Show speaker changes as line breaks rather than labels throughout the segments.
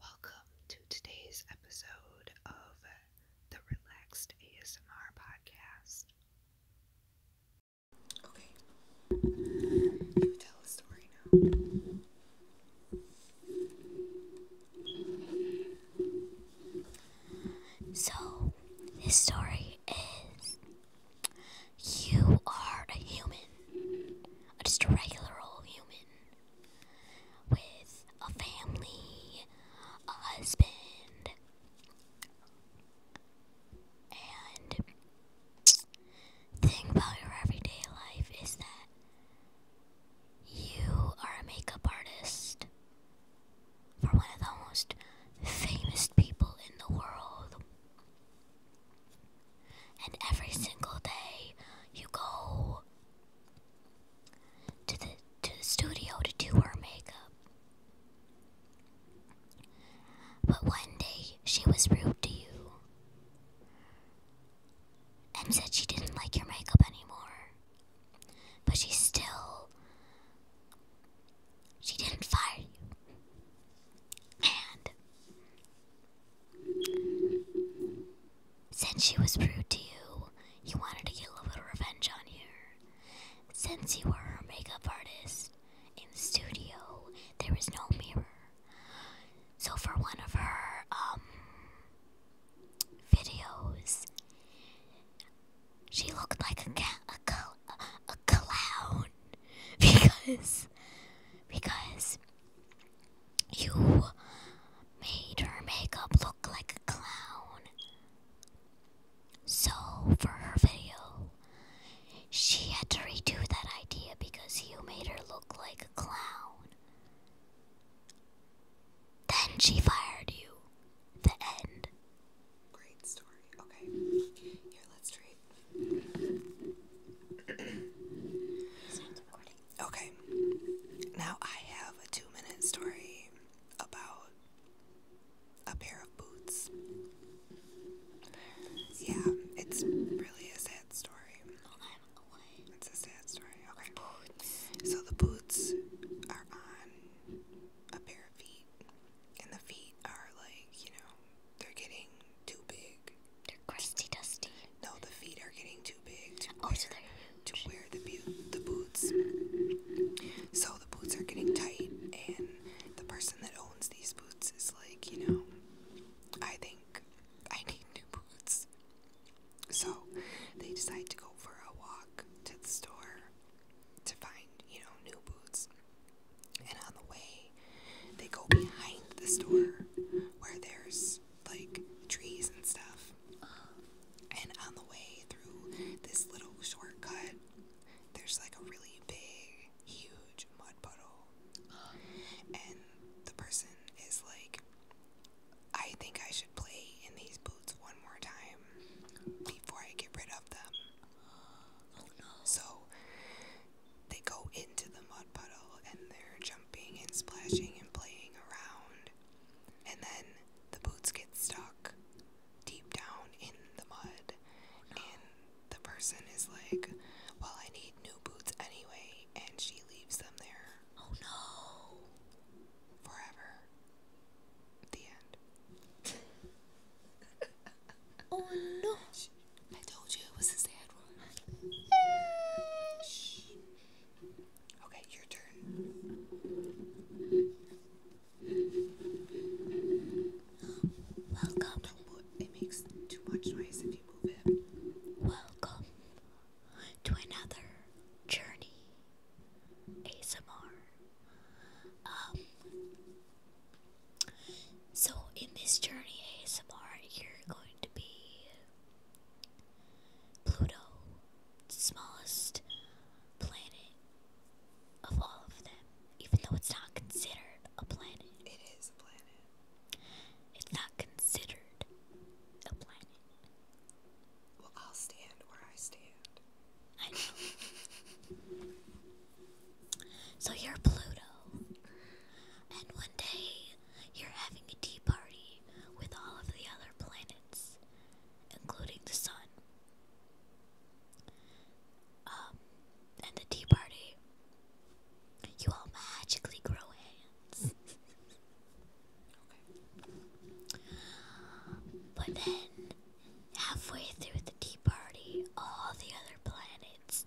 Welcome to today's episode of the Relaxed ASMR podcast. Okay, you tell a story now.
So, this story is you are a human, just a regular old human, with a family, a husband, and thing about your everyday life is that you are a makeup artist for one of the most famous people in the world. And every single day you go to the to the studio to do her makeup. But one day she was rude to you and said she didn't like your makeup anymore. But she still she didn't fire you. And since she was rude to you, he wanted to get a little bit of revenge on her. Since you were her makeup artist in the studio, there was no mirror. So for one of her um videos, she looked like a ca a, a clown. because because you made her makeup look like a clown. So for her video, she had to redo that idea because you made her look like a clown.
Then she fired you. The end. Great story. Okay. Here, let's try Okay. Now I have a two minute story about a pair of boots. Yeah, it's really a sad story. It's a sad story. Okay. So the boots are on a pair of feet, and the feet are like, you know, they're getting too big. They're crusty dusty. No, the feet are getting too big to oh, wear, so to wear the boots. So the boots are getting tight, and the person that owns these boots is like, you know, I think I need new boots. So they decide to go for a walk to the store to find, you know, new boots. And on the way, they go behind the store where there's like trees and stuff. And on the way through this little shortcut, there's like a really big, huge mud puddle. And the person is like, I think I should play in these boots one more time before I get rid of them. So they go into the mud puddle and they're jumping and splashing and playing around. And then the boots get stuck deep down in the mud. And the person is like, Well, I need new boots anyway. And she leaves them there. Oh no. Forever. The end. oh no! I told you it was a sad one. Okay, your turn. Welcome. It makes too much noise if you move it. Welcome to another journey
ASMR. Um, so, in this journey, ASMR, you're going to be Pluto, the smallest planet of all of them, even though it's not considered a planet. It is a planet.
It's not considered a planet. Well, I'll stand where I stand. I know.
so you're Pluto, and one day you're having a tea party with all of the other planets, including the sun. Um, and the tea party, you all magically grow hands. But then Halfway through the tea party, all the other planets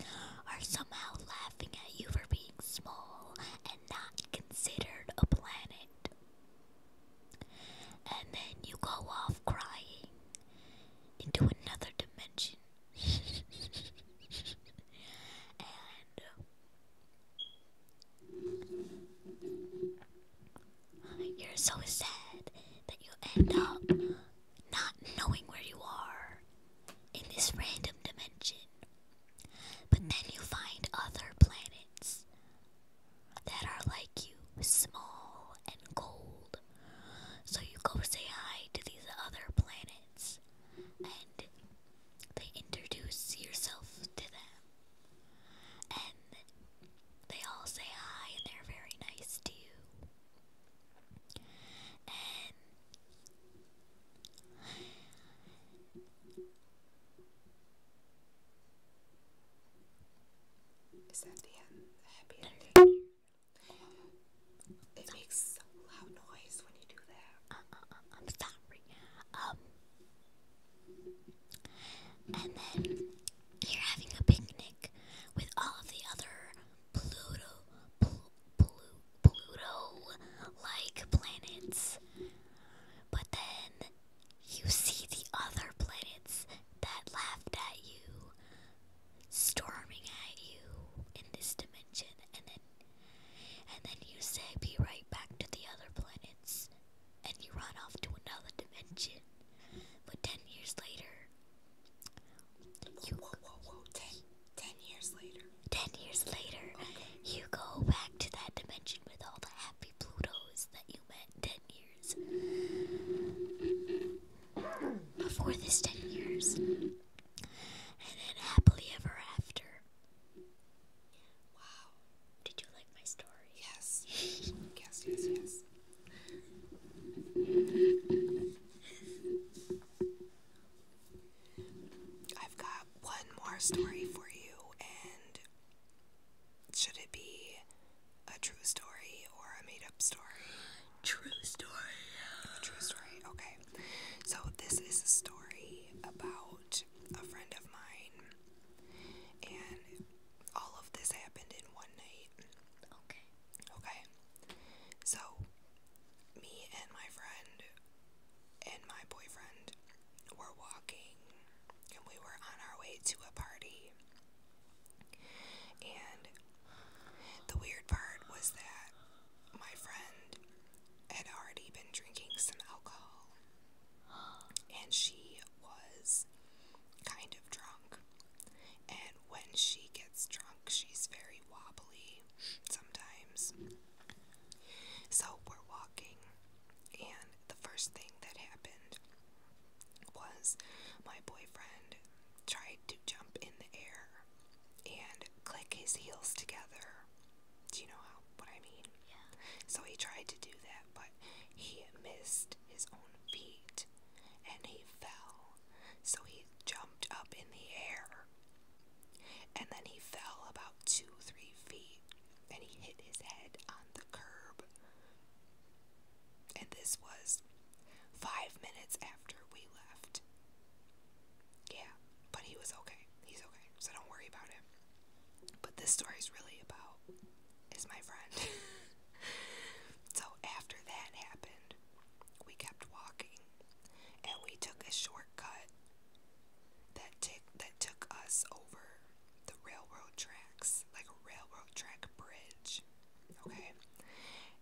are somehow laughing at you for being small and not considered a planet. And then you go off crying into another dimension. You're so sad that you end up not knowing where you are in this random dimension. But then you find other planets that are like you, small and cold. So you go say hi to these other planets and they introduce yourself to them. And they all say hi and they're very nice to you.
is that the happy ending? It makes a loud noise when you do that. Uh, uh, uh
and then you're having a picnic with all of the other Pluto, Pluto like planets. But then you see the other planets that laughed at you, storming at you in this dimension, and then and then you say, "Be right back to the other planets." and you run off to another dimension. But ten years later, you ten, ten years later. Ten years later, you go back to that dimension with all the happy Plutos that you met ten years. Before this ten years. And then
happily ever after. Wow. Did you like my story? Yes. yes, yes, yes. I've got one more story for you, and should it be a true story or a made up story? True story. A true story, okay. So, this is a story about a friend of mine, and all of this happened in one night. Okay. Okay. So, me and my friend and my boyfriend were walking, and we were on our way to a party. And the weird part was that my friend had already been drinking some alcohol and she was kind of drunk. And when she gets drunk, she's very wobbly sometimes. So we're walking, and the first thing that happened was my boyfriend tried to jump in the air and click his heels together do you know how what I mean? Yeah. So he tried to do that, but he missed his own feet and he fell. So he jumped up in the air. And then he fell about two, three feet and he hit his head on the curb. And this was five minutes after we left. Yeah, but he was okay. He's okay, so don't worry about him. But this story's really about is my friend. so after that happened, we kept walking, and we took a shortcut that took that took us over the railroad tracks, like a railroad track bridge. Okay,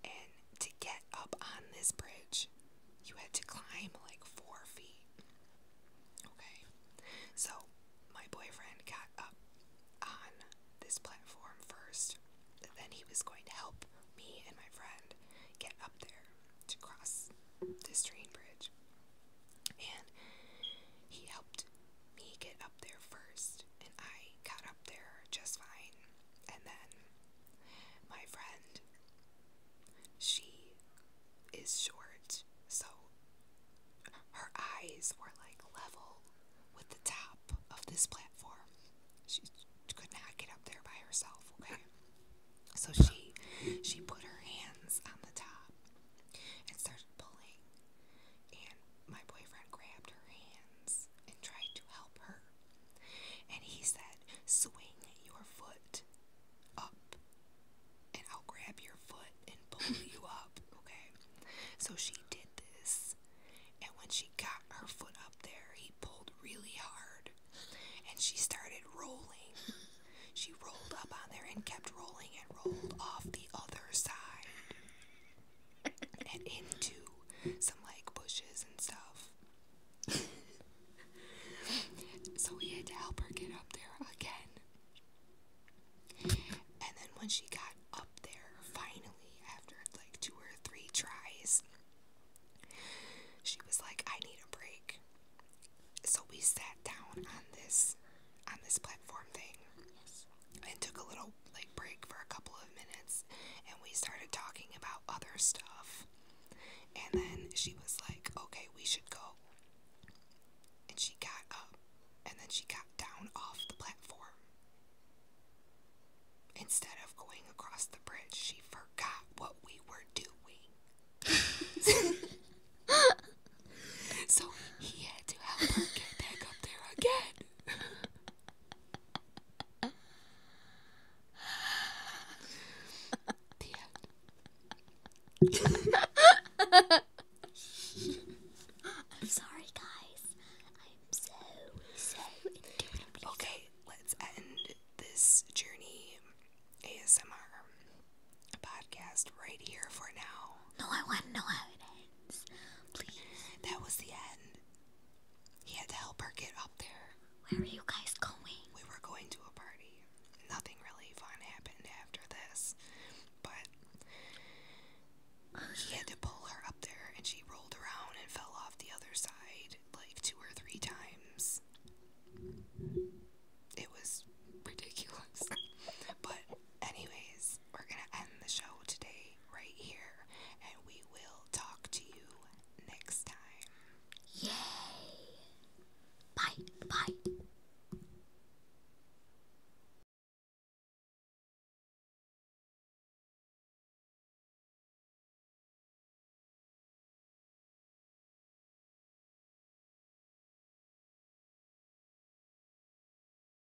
and to get up on this bridge, you had to climb like four feet. Okay, so my boyfriend got up on this platform first, then he was going to help me and my friend get up there to cross this train bridge. And he helped me get up there first, and I got up there just fine. And then my friend she is short, so her eyes were like level with the top of this platform. She could not get up there by herself, okay? So she she put her hands on the top and started pulling. And my boyfriend grabbed her hands and tried to help her. And he said, Swing your foot up, and I'll grab your foot and pull you up, okay? So she did this, and when she got her foot up there, he pulled really hard, and she started rolling. She rolled up on there and kept rolling and rolled off the other side and into some like bushes and stuff so we had to help her get up there again. And then when she got up there, finally, after like two or three tries, she was like, I need a break. So we sat down on this on this platform thing and took a little like break for a couple of minutes and we started talking about other stuff. And then she was like, okay, we should go. And she got up and then she got down off the platform. Instead of going across the bridge, she forgot what we were doing. so he had to help her get back up there again. I'm sorry, guys. I'm so, so into Okay, let's end this journey ASMR podcast right here for now.
No, I want no know
Please. That was the end. He had to help her get up there. Where are you guys going? We were going to a party. Nothing really fun happened after this, but he had to pull her up there and she rolled around and fell off the other side like two or three times. It was ridiculous. but, anyways, we're gonna end the show today right here, and we will talk to you next time. Yay! Bye, bye.